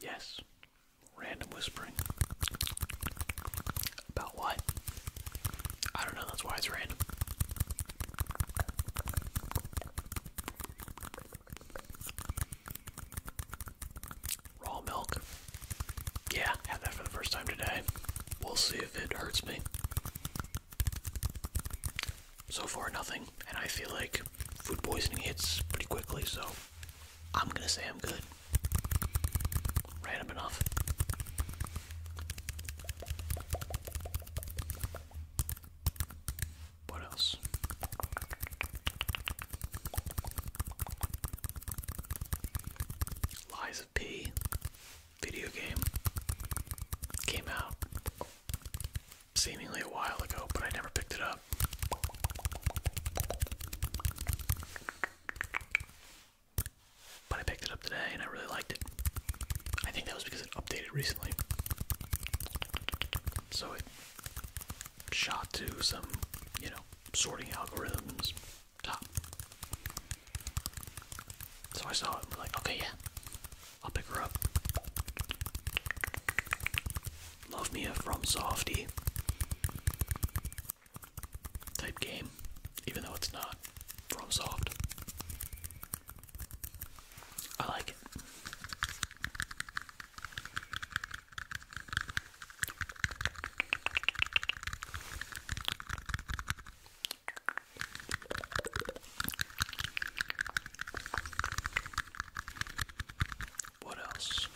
Yes, random whispering. About what? I don't know, that's why it's random. Raw milk. Yeah, had that for the first time today. We'll see if it hurts me. So far, nothing, and I feel like food poisoning hits pretty quickly, so I'm gonna say I'm good. Random enough. What else? Lies of P video game came out seemingly a while ago, but I never picked it up. But I picked it up today and I really liked it. I think that was because it updated recently. So it shot to some, you know, sorting algorithms so I saw it and was like, okay, yeah, I'll pick her up. Love me a From Softy type game, even though it's not From Soft. I like it. What else?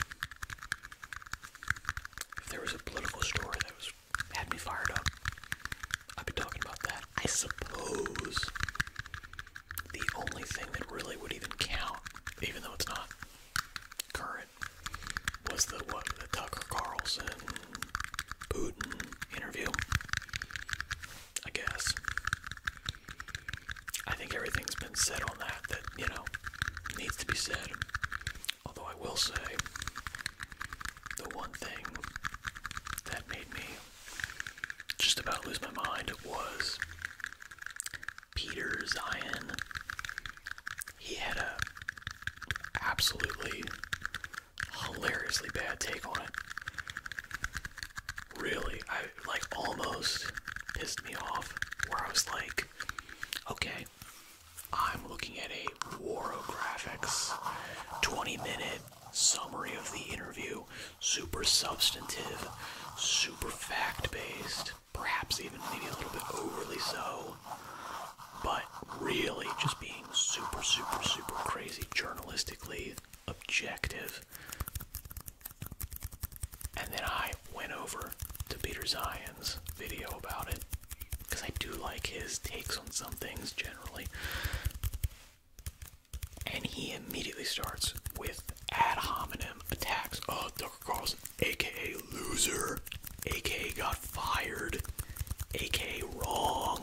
If there was a political story that was had me fired up, I'd be talking about that. I suppose the only thing that really would even count, even though it's not current was the what the Tucker Carlson Putin interview. I guess. I think everything's been said on that that, you know, needs to be said. Although I will say the one thing that made me just about lose my mind was Peter Zion. He had a absolutely hilariously bad take on it. Really, I like almost pissed me off where I was like, okay, I'm looking at a Waro Graphics 20 minute summary of the interview, super substantive, super fact based perhaps even maybe a little bit overly so, but really just being super, super, super crazy journalistically objective. And then I went over to Peter Zion's video about it because I do like his takes on some things generally. And he immediately starts with ad hominem attacks of Tucker Carlson, aka loser, aka got fired, aka wrong,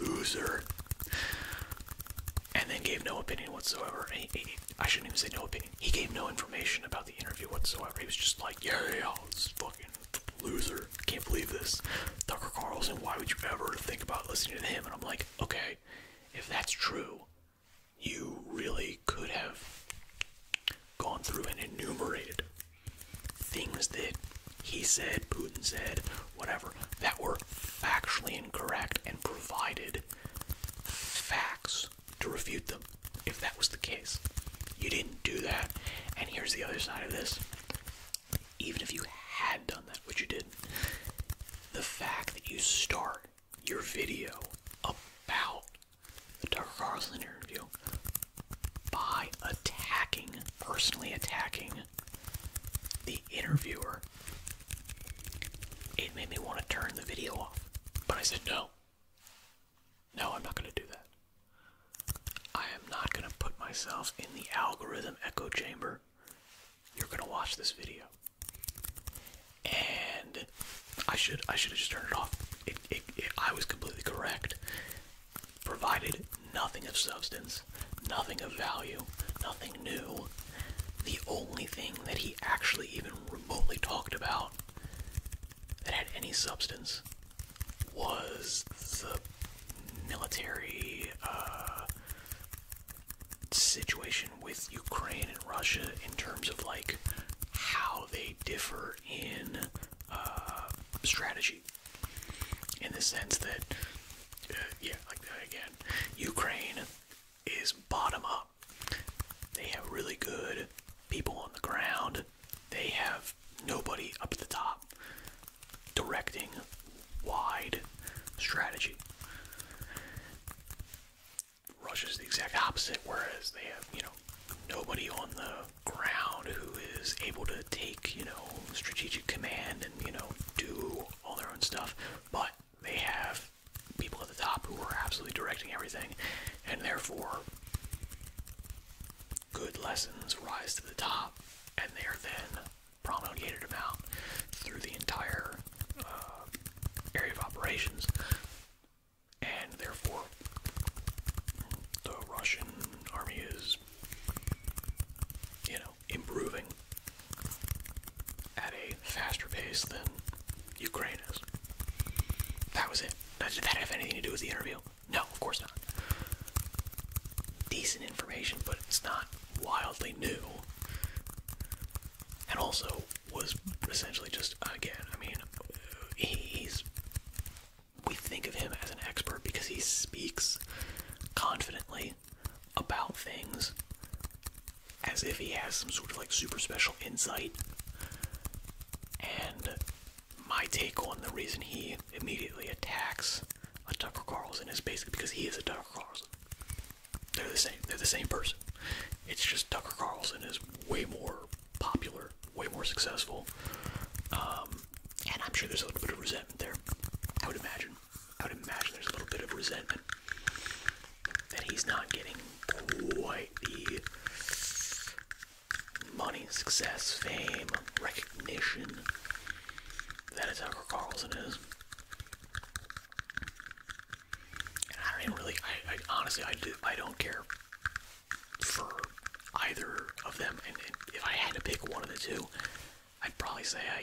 loser, and then gave no opinion whatsoever. I shouldn't even say no opinion. He gave no information about the interview whatsoever. He was just like, yeah, yeah, it's fucking loser. Can't believe this. Tucker Carlson, why would you ever think about listening to him? And I'm like, okay, if that's true, you really could have gone through and enumerated things that he said, Putin said, whatever, that were factually incorrect and provided facts to refute them if that was the case. You didn't do that. And here's the other side of this even if you had done that, which you didn't, the fact that you start your video about the Tucker Carlson interview by attacking, personally attacking the interviewer, it made me want to turn the video off. But I said, no. No, I'm not going to do that. I am not going to put myself in the algorithm echo chamber you're gonna watch this video. And I should I should have just turned it off. It, I was completely correct. Provided nothing of substance, nothing of value, nothing new. The only thing that he actually even remotely talked about that had any substance was the military uh, situation with Ukraine and Russia in terms of like how they differ in uh, strategy. In the sense that, uh, yeah, like again, Ukraine is bottom up. They have really good people on the ground. They have nobody up at the top directing, wide strategy. Russia is the exact opposite, whereas they have, you know, nobody on the ground who is able to take, you know, strategic command and, you know, do all their own stuff. But they have people at the top who are absolutely directing everything, and therefore good lessons rise to the top and they are then promulgated about through the entire uh, area of operations and therefore the Russian army is you know improving at a faster pace than Ukraine is. That was it. Did that have anything to do with the interview? No, of course not. Decent information, but it's not wildly new. And also was essentially just again. I mean, he's. We think of him as an expert because he speaks confidently about things as if he has some sort of like super special insight. And my take on the reason he immediately attacks a Tucker Carlson is basically because he is a Tucker Carlson. They're the same. They're the same person. It's just Tucker Carlson is way more popular, way more successful, um, and I'm sure there's a little bit of resentment there. I would imagine. I would imagine there's a little bit of resentment that he's not getting quite the money, success, fame, recognition. That is how Carlson is. And I don't really, I, honestly, I, do, I don't care for either of them. And, if I had to pick one of the two, I'd probably say I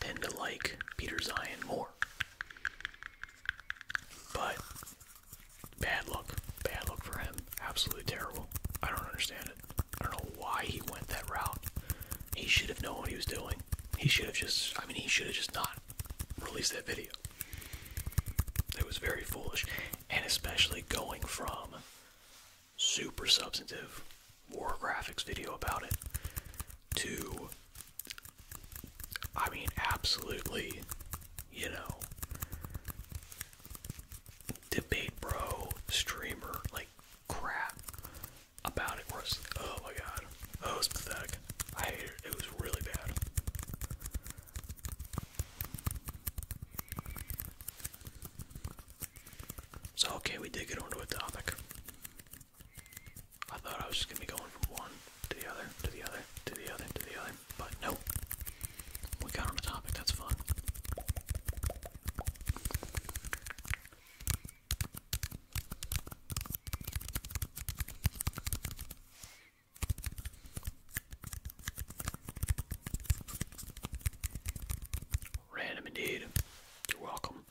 tend to like Peter Zion more. But Bad luck. Bad luck for him. Absolutely terrible. I don't understand it. I don't know why he went that route. He should have known what he was doing. He should have just, I mean, he should have just not released that video. It was very foolish. And especially going from super substantive war graphics video about it to I mean, absolutely, you know, debate bro, streamer, like crap about it. Where oh my god, oh, it was pathetic. I hated it. It was really bad. So, okay, we did get onto a topic. I thought I was just gonna be going from one to the other, to the other, to the other, to the other, but no. We got on a topic, that's fun. Random indeed. You're welcome.